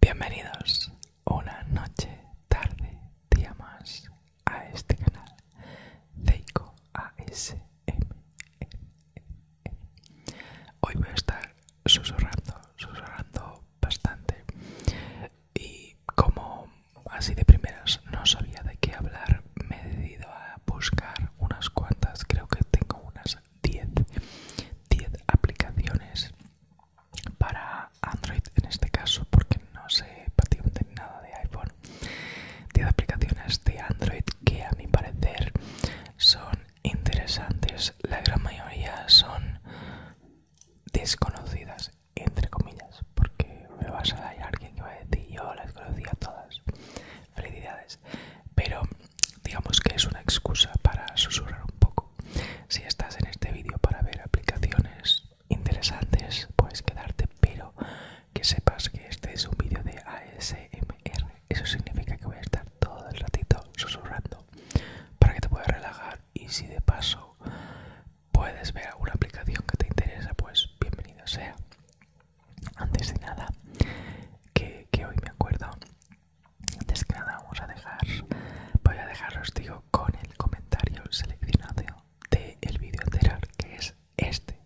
Bienvenidos una noche, tarde, día más a este canal Zeiko ASMR. Hoy voy a estar susurrando, susurrando bastante y como así de primeras no sabía de qué hablar me he decidido a buscar unas cuantas creo que tengo unas 10 10 aplicaciones para android en este caso porque no sé prácticamente nada de iphone 10 aplicaciones de android que a mi parecer son interesantes la gran mayoría son desconocidas entre comillas, porque me vas a dar alguien que va a decir yo las conocía todas. Felicidades. Pero digamos que es una excusa para susurrar un poco. Si estás en este vídeo para ver aplicaciones interesantes, puedes quedarte, pero que sepas que este es un vídeo de ASMR. Eso significa que voy a estar todo el ratito susurrando para que te puedas relajar y si de paso puedes ver alguna aplicación que te interesa, pues bienvenido sea. Antes de nada, que, hoy me acuerdo, antes que nada vamos a dejar, voy a dejaros, digo, con el comentario seleccionado de el vídeo anterior, que es este.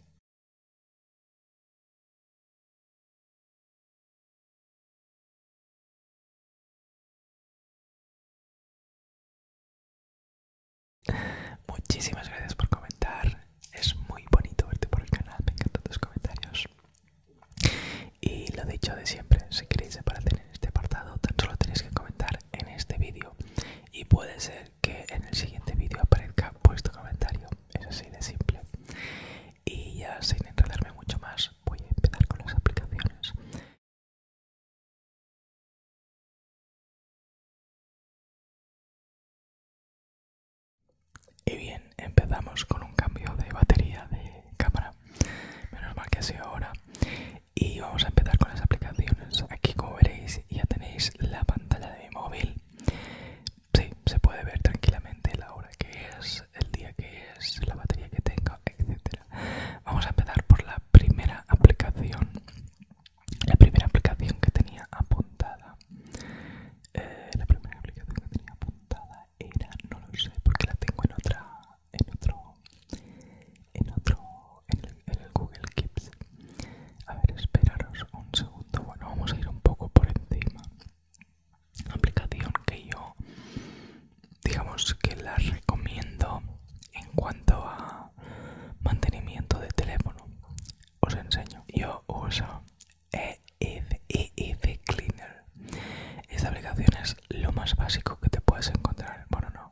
Muchísimas gracias por comentar. Es muy bonito verte por el canal. Me encantan tus comentarios. Y lo dicho de siempre, si queréis separarte en este apartado, tan solo tenéis que comentar en este vídeo. Y puede ser que en el siguiente vídeo aparezca vuestro comentario. Es así de simple. Y ya sin enredarme mucho más, voy a empezar con las aplicaciones. Y bien, empezamos con un cambio de batería de cámara. Menos mal que ha sido ahora. Y vamos a empezar con las aplicaciones. Aquí como veréis ya tenéis la pantalla de mi móvil. Sí, se puede ver tranquilamente la hora que es, el día que es, la batería que tengo, etc. Vamos a empezar por la primera aplicación la primera aplicación que tenía apuntada, eh, la primera aplicación que tenía apuntada era, no lo sé, porque la tengo en otra, en otro, en otro, en el, Google Kids A ver, esperaros un segundo. Bueno, vamos a ir un poco por encima. Una aplicación que yo, digamos que la recomiendo en cuanto a mantenimiento de teléfono os enseño yo uso E, e Cleaner esta aplicación es lo más básico que te puedes encontrar bueno no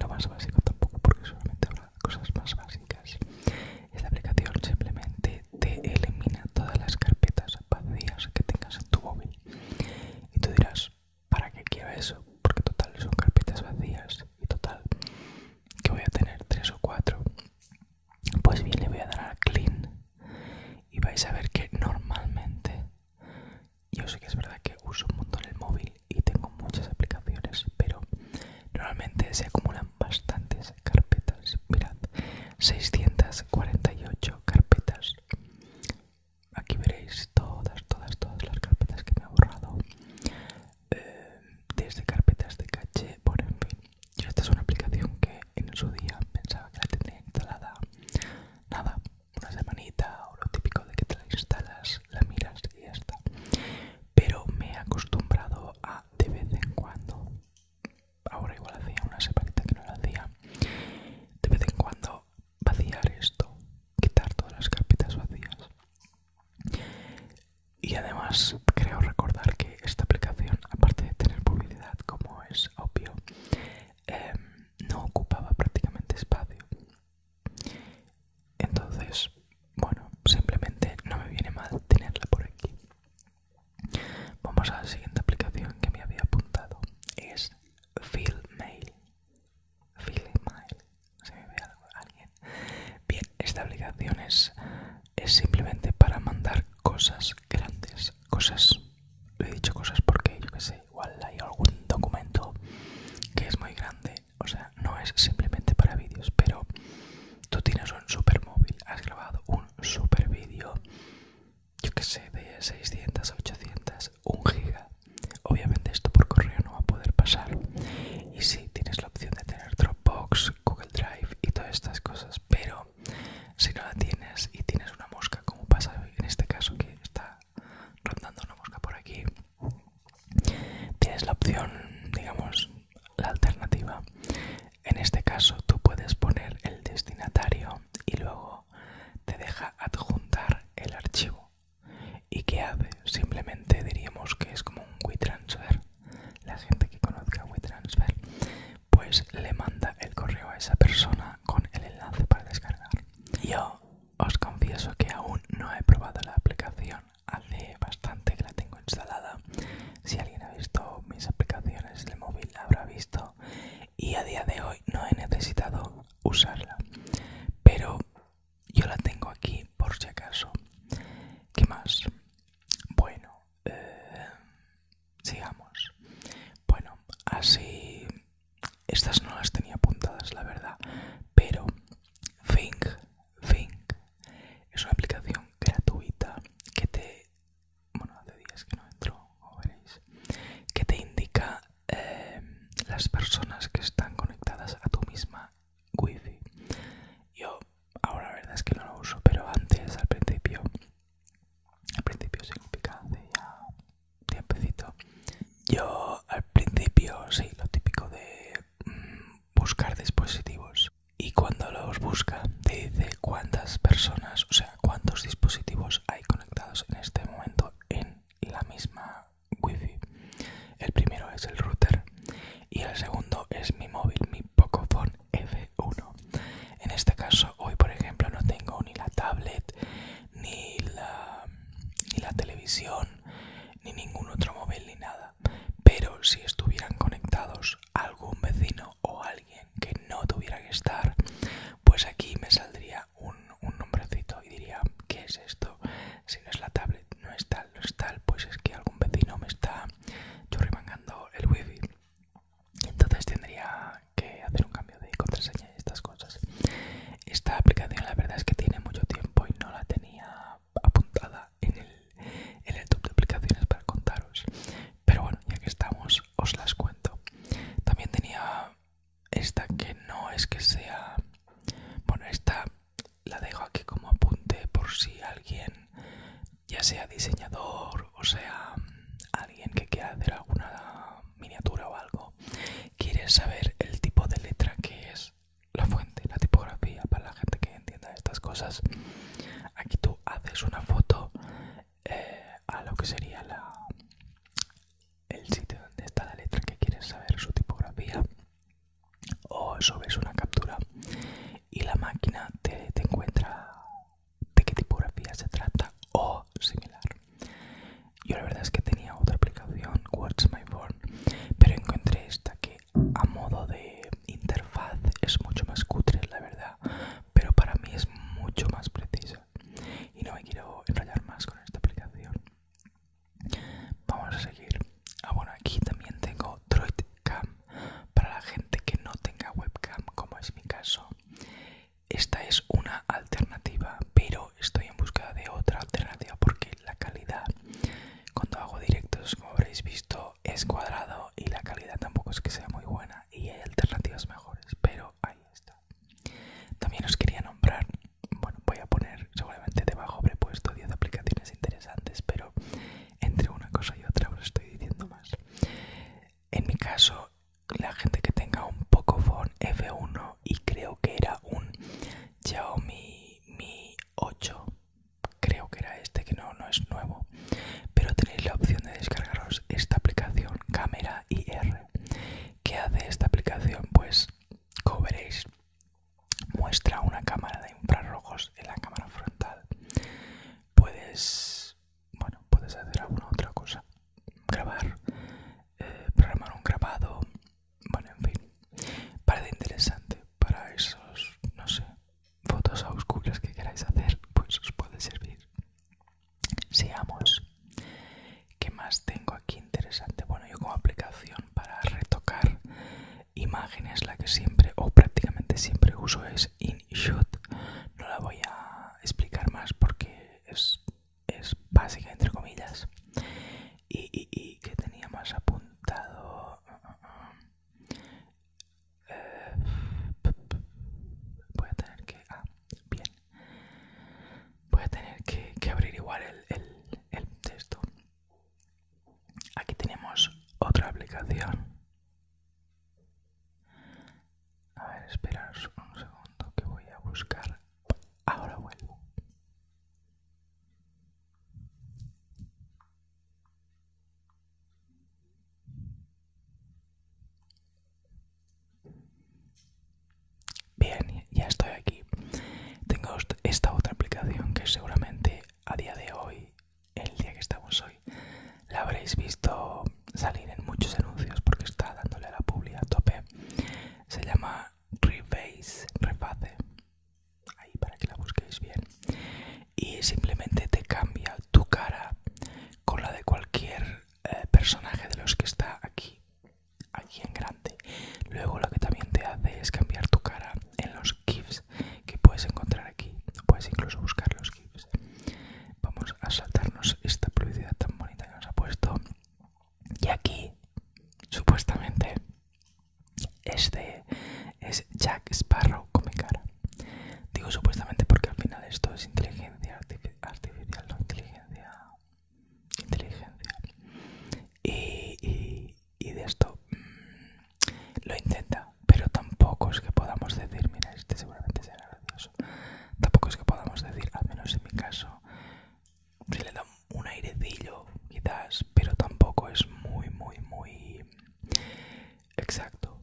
lo más básico tampoco porque solamente habla de cosas más básicas esta aplicación simplemente te elimina todas las carpetas vacías que tengas en tu móvil y tú dirás ¿para qué quiero eso? porque total son carpetas vacías y total que voy a tener tres o cuatro pues bien le voy a dar a clean y vais a ver que normalmente yo sé que es verdad que uso un montón el móvil y tengo muchas aplicaciones pero normalmente se acumulan bastantes carpetas mirad 648 carpetas aquí veréis todas todas todas las carpetas que me he borrado eh, desde carpetas de caché, por en fin. esta es una aplicación que en su día pensaba que la tenía instalada nada, una semanita o lo típico de que te la instalas, la miras y ya está. Pero me he acostumbrado a de vez en cuando, ahora igual hacía una semana que no la hacía, de vez en cuando vaciar esto, quitar todas las carpetas vacías y además creo recordar que esta aplicación, aparte de tener publicidad como es obvio, em, no ocupaba prácticamente espacio. Entonces, bueno, simplemente no me viene mal tenerla por aquí. Vamos a la siguiente aplicación que me había apuntado. Es Mail. Se ve alguien. Bien, esta aplicación es, es simplemente para mandar cosas grandes. Cosas, lo he dicho cosas porque yo que sé, igual hay algún documento que es muy grande. O sea, no es simplemente para vídeos, pero tú tienes un super móvil, has grabado un super vídeo, yo que sé, de 600, 800, 1 giga. Obviamente esto por correo no va a poder pasar. Y sí, tienes la opción de tener Dropbox, Google Drive y todas estas cosas, pero si no la tienes y tienes una mosca, como pasa en este caso que está rondando una mosca por aquí, tienes la opción, digamos, la alternativa. En este caso tú puedes poner el destinatario y luego te deja adjuntar el archivo ¿Y qué hace? Simplemente diríamos que es como un WeTransfer. La gente que conozca WeTransfer, pues le manda el correo a esa persona con el enlace para descargar. Yo os confieso que aún no he probado la aplicación. Hace bastante que la tengo instalada. Si alguien ha visto mis aplicaciones de móvil, habrá visto. Y a día de hoy no he necesitado usarla. Pero yo la tengo aquí por si acaso. ¿Qué más? Bueno, eh, sigamos. Bueno, así... Estas no las tenía apuntadas, la verdad. Pero Think, es una aplicación gratuita que te... Bueno, hace días que no entro, veréis. Que te indica eh, las personas que están conectadas a tu misma wifi yo ahora la verdad es que no lo uso pero antes al principio al principio significa hace ya tiempecito yo al principio sí lo típico de mm, buscar dispositivos y cuando los busca te dice cuántas personas o sea cuántos dispositivos hay conectados en este momento en la misma wifi el primero es el router y el segundo es mi móvil mi pocophone f1 en este caso hoy por ejemplo no tengo ni la tablet ni la, televisión ni ningún otro móvil ni nada pero si estuvieran conectados algún vecino o alguien que no tuviera que estar pues aquí me saldría un, un nombrecito y diría ¿qué es esto? si no es la tablet no es tal, no es tal, pues es que algún vecino me está churrimangando el wifi. Entonces tendría que hacer un cambio de contraseña y estas cosas. Esta aplicación la verdad es que tiene mucho tiempo y no la tenía apuntada en el, en el top de aplicaciones para contaros. Pero bueno, ya que estamos, os las cuento. También tenía esta que no es que sea... Bueno, esta la dejo aquí como apunte por si alguien, ya sea diseñador o sea alguien que quiera hacer alguna miniatura o algo, quiere saber el tipo de letra que es la fuente, la tipografía, para la gente que entienda estas cosas. Aquí tú haces una foto eh, a lo que sería la, el sitio donde está la letra que quieres saber su tipografía o subes una captura y la máquina te, encuentra de qué tipografía se trata o similar. Yo la verdad es que tenía otra aplicación, Words My Born, pero encontré esta que a modo de interfaz es mucho más cutre, la verdad, pero para mí es mucho más precisa. Y no me quiero enrollar más con esta aplicación. Vamos a seguir. Ah, bueno, aquí también tengo Cam para la gente que no tenga webcam, como es mi caso. Esta es una alternativa, pero estoy en busca de otra alternativa porque la calidad, cuando hago directos, como habréis visto, es cuadrado y la calidad tampoco es que sea muy buena y hay alternativas mejores, pero ahí está. También os quería nombrar, bueno, voy a poner seguramente debajo prepuesto 10 aplicaciones interesantes, pero entre una cosa y otra os estoy diciendo más. En mi caso, la gente que tenga un Pocophone F1 y creo que era un Xiaomi Mi 8, creo que era este, que no, no es nuevo, pero tenéis la opción de descargaros esta aplicación Camera IR. ¿Qué hace esta aplicación? Pues cobréis muestra una cámara de infrarrojos en la cámara frontal. Puedes, bueno, puedes hacer alguna otra cosa, grabar, eh, programar un grabado, bueno, en fin, parece interesante para esos, no sé, fotos oscuras que queráis hacer, pues os puede servir. Seamos. ¿Qué más tengo aquí interesante? Bueno, yo como aplicación para retocar imágenes la que siempre o prácticamente siempre uso es InShot no la voy a explicar más porque es, es básica entre comillas y, que tenía más apuntado eh, voy a tener que ah, abrir igual el texto Aquí tenemos otra aplicación. A ver, esperar un segundo que voy a buscar. Ahora vuelvo. Bien, ya estoy aquí. Tengo esta otra aplicación que seguramente a día de hoy, el día que estamos hoy, la habréis visto salir en muchos anuncios porque está dándole a la publi a tope. Se llama Rebase, reface, ahí para que la busquéis bien. Y simplemente te cambia tu cara con la de cualquier eh, personaje de los que está aquí, aquí en grande. Luego lo que también te hace es cambiar tu cara en los GIFs que puedes encontrar aquí, puedes incluso buscar los GIFs. Vamos a saltarnos esta publicidad tan bonita que nos ha puesto. Y aquí, supuestamente, este es Jack Sparrow con mi cara. Digo supuestamente porque al final esto es inteligencia artificial, no inteligencia. Inteligencia. y, y de esto mm, lo intenta, pero tampoco es que podamos decir, mira, este seguramente será gracioso. Tampoco es que podamos decir, al menos en mi caso, se le da un airecillo, quizás, pero tampoco es muy, muy, muy exacto.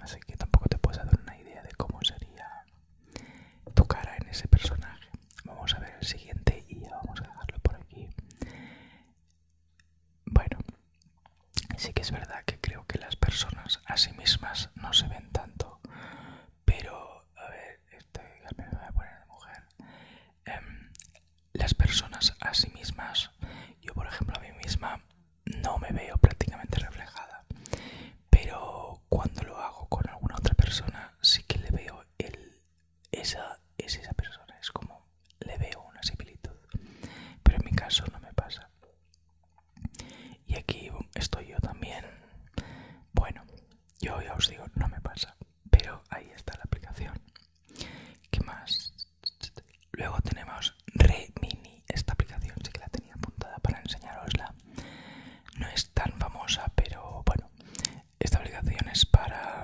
Así que tampoco te puedes dar una idea de cómo sería tu cara en ese personaje. Vamos a ver el siguiente y ya vamos a dejarlo por aquí. Bueno, sí que es verdad que creo que las personas a sí mismas no se ven tanto, pero, a ver, estoy, me voy a poner de mujer. Em, las personas a sí mismas, yo por ejemplo a mí misma no me veo prácticamente reflejada, pero cuando lo hago con alguna otra persona sí que le veo el esa es esa persona, es como le veo una similitud, pero en mi caso no me pasa. Y aquí estoy yo también. Bueno, yo ya os digo, no me pasa, pero ahí está la aplicación. ¿Qué más? Luego tenemos Re Mini esta aplicación sí que la tenía apuntada para enseñarosla. No es tan famosa, pero bueno, esta aplicación es para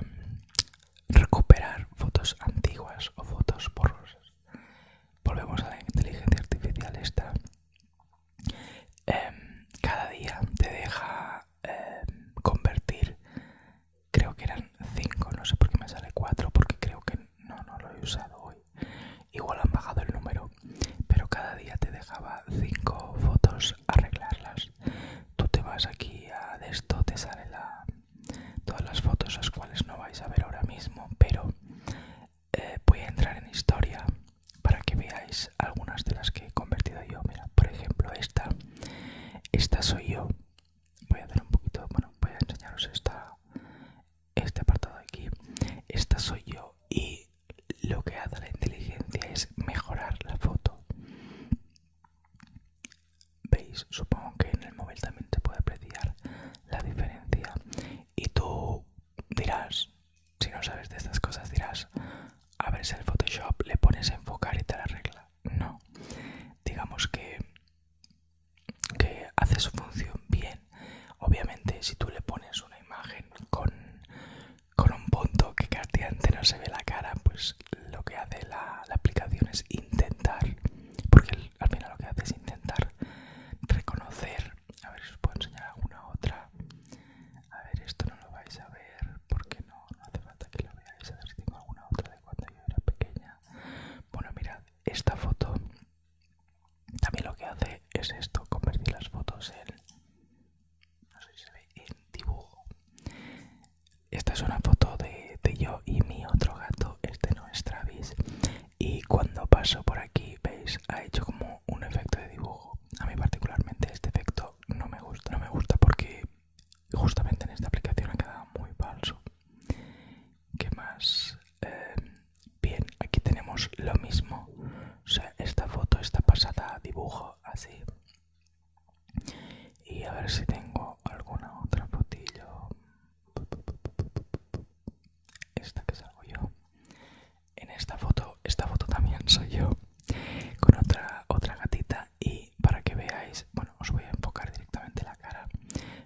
recuperar fotos antiguas o fotos borrosas. Volvemos a la inteligencia artificial esta. Em, cada día te deja em, convertir, creo que eran 5, no sé por qué me sale 4, porque creo que no, no lo he usado hoy. Igual han bajado el número, pero cada día te dejaba 5 fotos arreglarlas. Tú te vas aquí a esto, te sale la todas las fotos las cuales no vais a ver ahora mismo pero eh, voy a entrar en historia para que veáis algunas de las que he convertido yo mira por ejemplo esta esta soy yo voy a dar un poquito bueno voy a enseñaros esta este apartado aquí esta soy yo y lo que hace la inteligencia es mejorar la foto veis supongo que en el móvil también se puede apreciar la diferencia y tú dirás si no sabes de estas cosas dirás abres el photoshop le pones a enfocar y te la arregla no digamos que que hace su función bien obviamente si tú le pones una imagen con con un punto que casi no se ve la cara pues lo que hace la, aplicación es intentar, porque al final lo que hace es intentar reconocer, a ver si os puedo enseñar alguna otra, a ver esto no lo vais a ver porque no, no hace falta que lo veáis, a ver si tengo alguna otra de cuando yo era pequeña. Bueno, mirad, esta foto también lo que hace es esto, convertir las fotos en dibujo. Esta es una foto de, yo y mi otro gato, este no es Travis. Y cuando paso por aquí, veis, ha hecho como un efecto de dibujo. A mí particularmente este efecto no me gusta. No me gusta porque justamente en esta aplicación ha quedado muy falso. ¿Qué más? Em, bien, aquí tenemos lo mismo. O sea, esta foto está pasada a dibujo así y a ver si tengo alguna otra fotillo esta que salgo yo en esta foto esta foto también soy yo con otra otra gatita y para que veáis bueno os voy a enfocar directamente la cara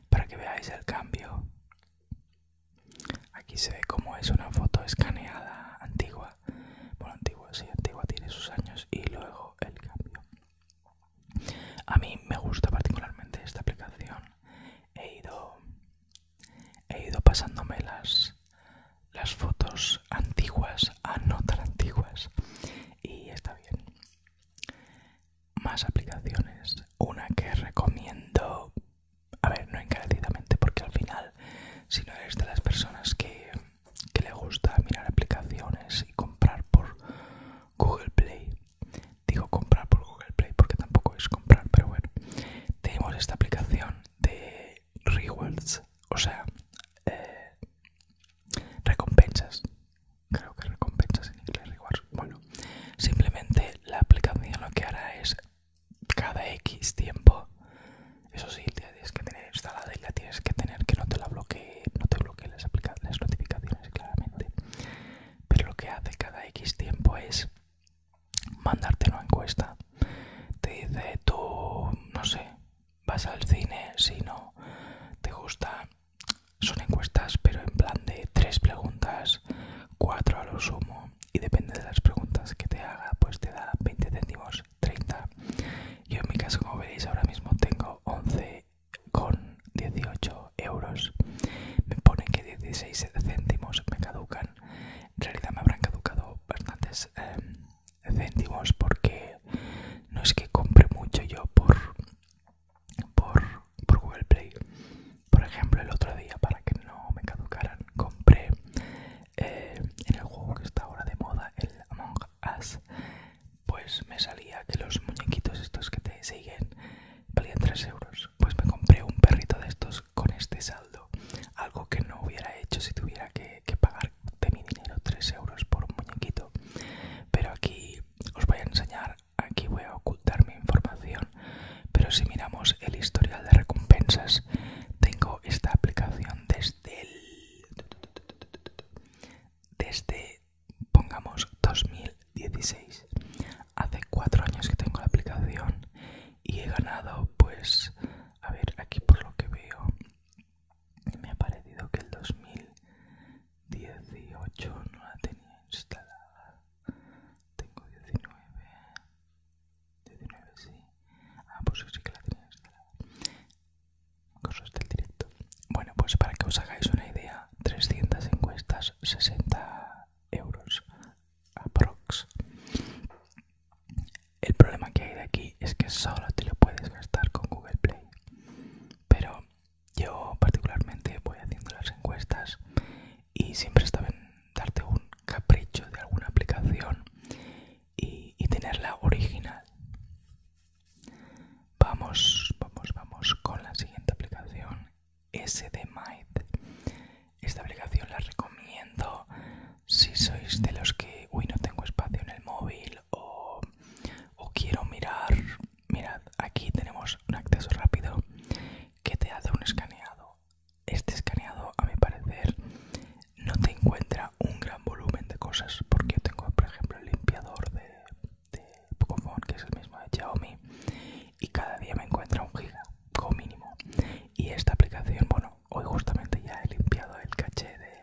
para que veáis el cambio aquí se ve como es una foto escaneada antigua bueno antigua sí antigua tiene sus años y luego el cambio a mí me gusta particularmente esta aplicación. He ido, he pasándome las, fotos antiguas a no tan antiguas y está bien. Más aplicaciones. Una que recomiendo, a ver, no encarecidamente, porque al final, si no eres de las personas que le gusta mirar aplicaciones y comprar por, Google Play. Digo comprar por Google Play porque tampoco es comprar, pero bueno. Tenemos esta aplicación de rewards, o sea, eh, recompensas. Creo que recompensas en inglés, rewards. Bueno, simplemente la aplicación lo que hará es cada X tiempo. Eso sí, la tienes que tener instalada y la tienes que tener que no te la bloquee no te bloqueen las, notificaciones claramente pero lo que hace cada X tiempo es mandarte una encuesta te dice tú no sé vas al cine si no te gusta son encuestas pero en plan de tres preguntas cuatro a lo sumo y depende de las preguntas que te haga pues te da 20 céntimos 30 yo en mi caso como veis ahora mismo tengo 11 con 18 euros. Me ponen que 16 céntimos me caducan. En realidad me habrán caducado bastantes em, céntimos porque no es que compre mucho yo por, por, Google Play. Por ejemplo, el otro día, para que no me caducaran, compré eh, en el juego que está ahora de moda, el Among pues me salía que los muñequitos estos que te siguen valían 3 euros. Pues me compré un perrito de estos con este saldo, algo que no hubiera hecho si tuviera que, pagar de mi dinero 3 euros por un muñequito. Pero aquí os voy a enseñar, aquí voy a ocultar mi información, pero si miramos el historial de recompensas, tengo esta aplicación desde el... Desde pongamos 2016. Hace cuatro años que tengo la aplicación y he ganado, pues, a ver, aquí por lo que veo, me ha parecido que el 2018 no la tenía instalada. Tengo 19, 19 sí. Ah, pues sí que la tenía Cosas del directo. Bueno, pues para que os hagáis una idea, 300 encuestas, 60 euros aprox. El problema que hay de aquí es que solo te lo puedes gastar con Google Play. Pero yo particularmente voy haciendo las encuestas y siempre está en darte un capricho de alguna aplicación y tenerla original. Vamos, vamos, vamos con la siguiente aplicación, SDMite. Esta aplicación la recomiendo si sois de los que, uy, no tengo espacio en el móvil o, quiero mirar. Mirad, aquí tenemos un acceso rápido que te hace un escaneado. Este escaneado, a mi parecer, no te encuentra un gran volumen de cosas porque yo tengo, por ejemplo, el limpiador de de Pocophone, que es el mismo de Xiaomi, y cada día me encuentra un giga como mínimo. Y esta aplicación, bueno, hoy justamente ya he limpiado el caché de,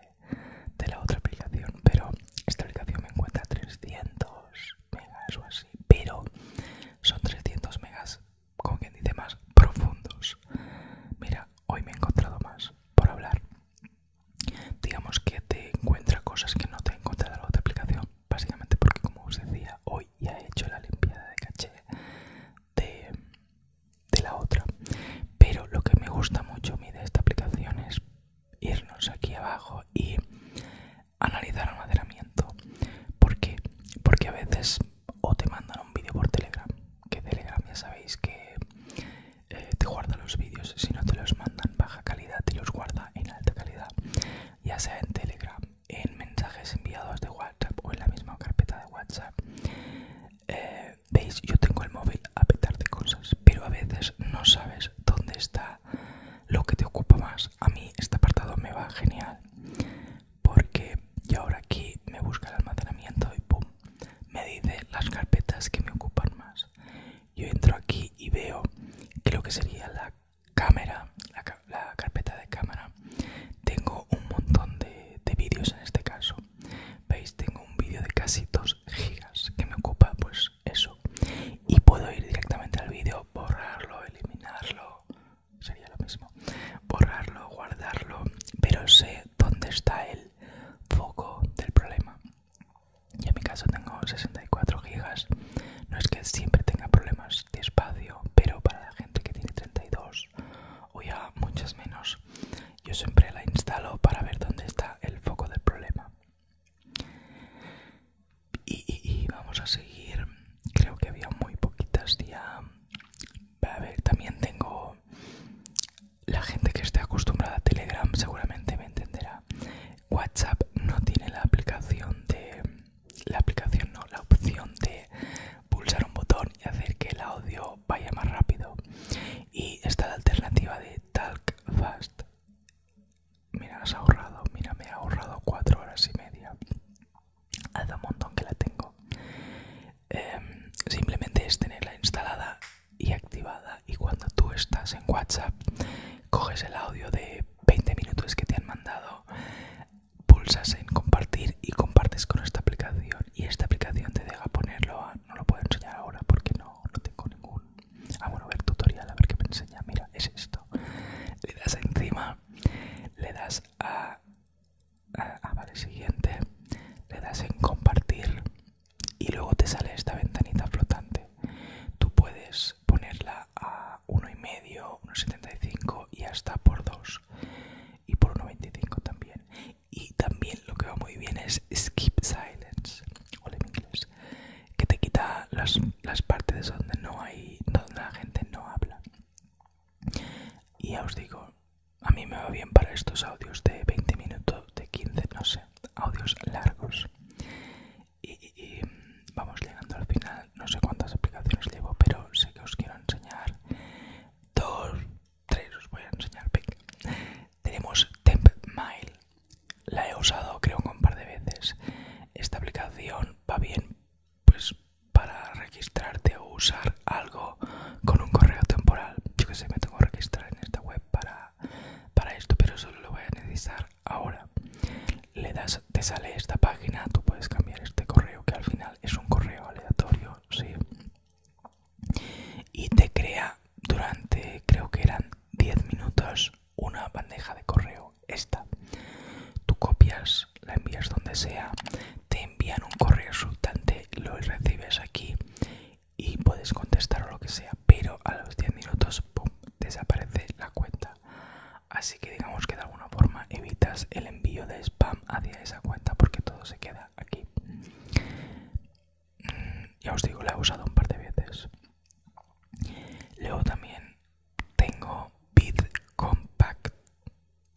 de la otra aplicación, pero esta aplicación me encuentra 300 megas o así, pero son 300 megas, como quien dice, más profundos. Mira, hoy me he encontrado más por hablar digamos que te encuentra cosas que no te encuentra la otra aplicación básicamente porque como os decía hoy ya he hecho la limpieza de caché de, la otra pero lo que me gusta mucho a de esta aplicación es irnos aquí abajo y analizar el ¿por qué? porque a veces o te mandan un vídeo por telegram que telegram ya sabéis que eh, te guarda los vídeos si no te los mandan baja calidad calidad y los guarda en alta calidad, ya sea en Telegram, en mensajes enviados de WhatsApp o en la misma carpeta de WhatsApp. Eh, veis, yo tengo el móvil a petar de cosas, pero a veces no sabes dónde está lo que te ocupa más. A mí este apartado me va genial porque yo ahora aquí me busca el almacenamiento y pum, me dice las carpetas que me ocupan más yo entro aquí y veo creo que sería la cámara la, carpeta de cámara tengo un montón de, de vídeos en este caso veis tengo un vídeo de casi 2 gigas que me ocupa pues eso y puedo ir directamente al vídeo borrarlo eliminarlo sería lo mismo borrarlo guardarlo pero sé dónde está el foco del problema yo en mi caso tengo 64 gigas. No es que siempre tenga problemas de espacio, pero para la gente que tiene 32 o ya muchas menos, yo siempre la instalo para ver dónde está el foco del problema. Y, vamos a seguir. Creo que había muy poquitas ya. A ver, también tengo la gente que esté acostumbrada a Telegram seguramente me entenderá WhatsApp no tiene la aplicación de la aplicación no la opción de pulsar un botón y hacer que el audio vaya más rápido y está la alternativa de Talk Fast mira ahorrado mira me ha ahorrado cuatro horas y media hace un montón que la tengo em, simplemente es tenerla instalada y activada y cuando tú estás en WhatsApp coges el audio de 20 minutos que te han mandado, pulsas en compartir y compartes con esta aplicación. Y esta aplicación te deja ponerlo No lo puedo enseñar ahora porque no, tengo ningún. Ah, a ver tutorial, a ver qué me enseña. Mira, es esto. Le das encima, le das a. a ah, vale, siguiente. Le das en compartir y luego te sale esta ventanita flotante. Tú puedes ponerla a 1,5, 1,75 y hasta por 2 y por 1,25 también. Y también lo que va muy bien es Skip Silence, o en inglés, que te quita las, partes donde no hay, donde la gente no habla. Y ya os digo, a mí me va bien para estos audios de 20 minutos, de 15, no sé, audios largos y, mm, vamos llegando al final. No sé cuántas aplicaciones llevo, pero sé que os quiero enseñar dos, tres. Os voy a enseñar. Tenemos TempMile. La he usado creo un par de veces. Esta aplicación va bien pues para registrarte o usar algo con un correo temporal. Yo que sé, me tengo que registrar en esta web para, para esto, pero solo lo voy a necesitar ahora le das te sale esta página tú puedes cambiar este correo que al final es un correo aleatorio sí y te crea durante creo que eran 10 minutos una bandeja de correo esta tú copias la envías donde sea te envían un correo resultante lo recibes aquí y puedes contestar o lo que sea pero a los 10 minutos pum, desaparece la cuenta Así que digamos que de alguna forma evitas el envío de spam hacia esa cuenta porque todo se queda aquí. Mm, ya os digo, la he usado un par de veces. Luego también tengo BitCompact.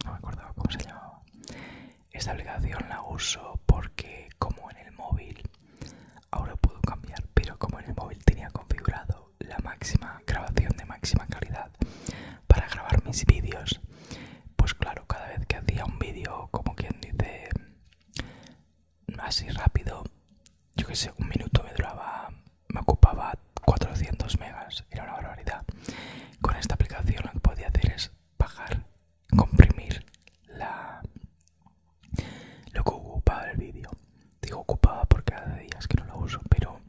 No me acordaba cómo se llamaba. Esta aplicación la uso porque como en el móvil, ahora puedo cambiar, pero como en el móvil tenía configurado la máxima grabación de máxima calidad para grabar mis vídeos pues claro cada vez que hacía un vídeo como quien dice así rápido yo que sé un minuto me duraba me ocupaba 400 megas era una barbaridad con esta aplicación lo que podía hacer es bajar comprimir la lo que ocupaba el vídeo. Digo ocupaba porque hace días que no lo uso, pero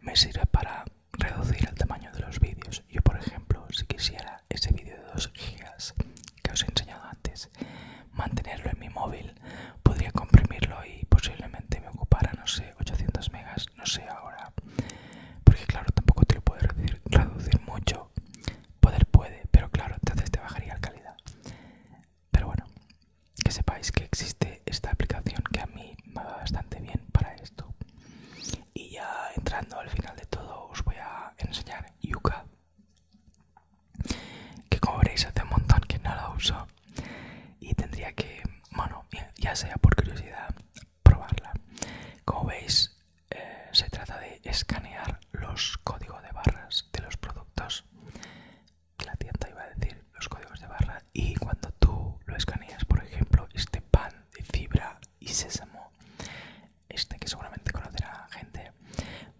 me sirve para reducir el tamaño de los vídeos. Yo, por ejemplo, si quisiera ese vídeo de 2 gigas que os he enseñado antes, mantenerlo en mi móvil, podría comprimirlo y posiblemente me ocupara, no sé, 800 megas, no sé ahora. Porque claro, tampoco te lo puedo reducir mucho. Poder puede, pero claro, entonces te bajaría la calidad. Pero bueno, que sepáis que existe esta aplicación que a mí me va bastante bien para esto. Y ya entrando al final de todo os voy a enseñar Yuka. Que como veréis hace un montón que no la uso. Y tendría que, bueno, ya sea por curiosidad, probarla. Como veis, eh, se trata de escanear los códigos de barras de los productos la tienda iba a decir los códigos de barra y cuando tú lo escaneas por ejemplo este pan de fibra y sésamo este que seguramente conocerá gente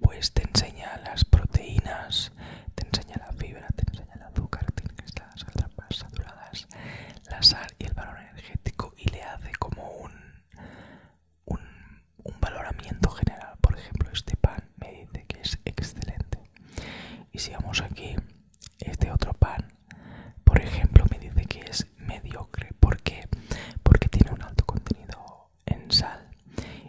pues te enseña las proteínas te enseña la fibra te enseña el azúcar te enseña las más saturadas la sal y el valor energético y le hace como un, un valoramiento general por ejemplo este pan me dice que es excelente. Y si vamos aquí, este otro pan, por ejemplo, me dice que es mediocre. ¿Por qué? Porque tiene un alto contenido en sal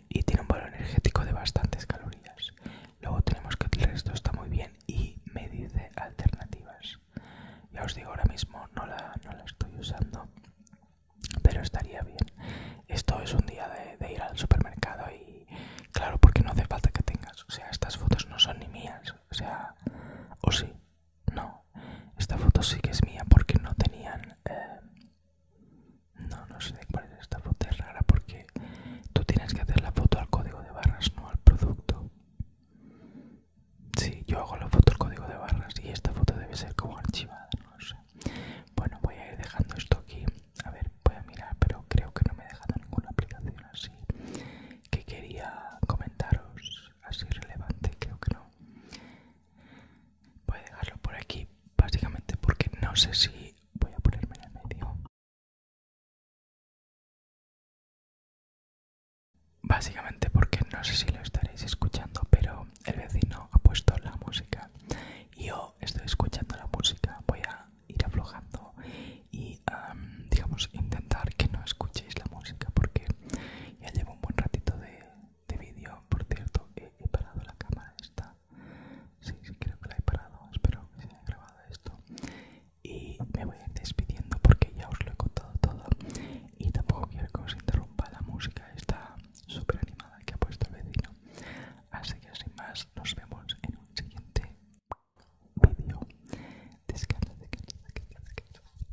y tiene un valor energético de bastantes calorías. Luego tenemos que el resto está muy bien y me dice alternativas. Ya os digo, ahora mismo no la, estoy usando, pero estaría bien. Esto es un día de ir al supermercado y claro, porque no hace falta que tengas, o sea, estas fotos no son ni mías, o sea, o sí, no, esta foto sí que es mía porque no tenían, eh, no, no sé cuál es esta foto, es rara porque tú tienes que hacer la foto al código de barras, no al producto. Sí, yo hago la foto al código de barras y esta foto debe ser como archivada, no sé. Bueno, voy a ir dejando esto aquí. A ver, voy a mirar, pero creo que no me he dejado ninguna aplicación así que quería comentaros así relevante, creo que no. Voy a dejarlo por aquí, básicamente porque no sé si voy a ponerme en el medio. Básicamente porque no sé si lo estaréis escuchando, pero el vecino ha puesto la música yo estoy escuchando la música voy a ir aflojando y digamos intentar que no escuchéis la música porque ya llevo un buen ratito de, vídeo por cierto he, parado la cámara esta sí, sí creo que la he parado espero que se haya grabado esto y me voy despidiendo porque ya os lo he contado todo y tampoco quiero que os interrumpa la música esta súper animada que ha puesto el vecino Así que sin más, nos vemos en un siguiente vídeo. Descansa, descansa, de descansa.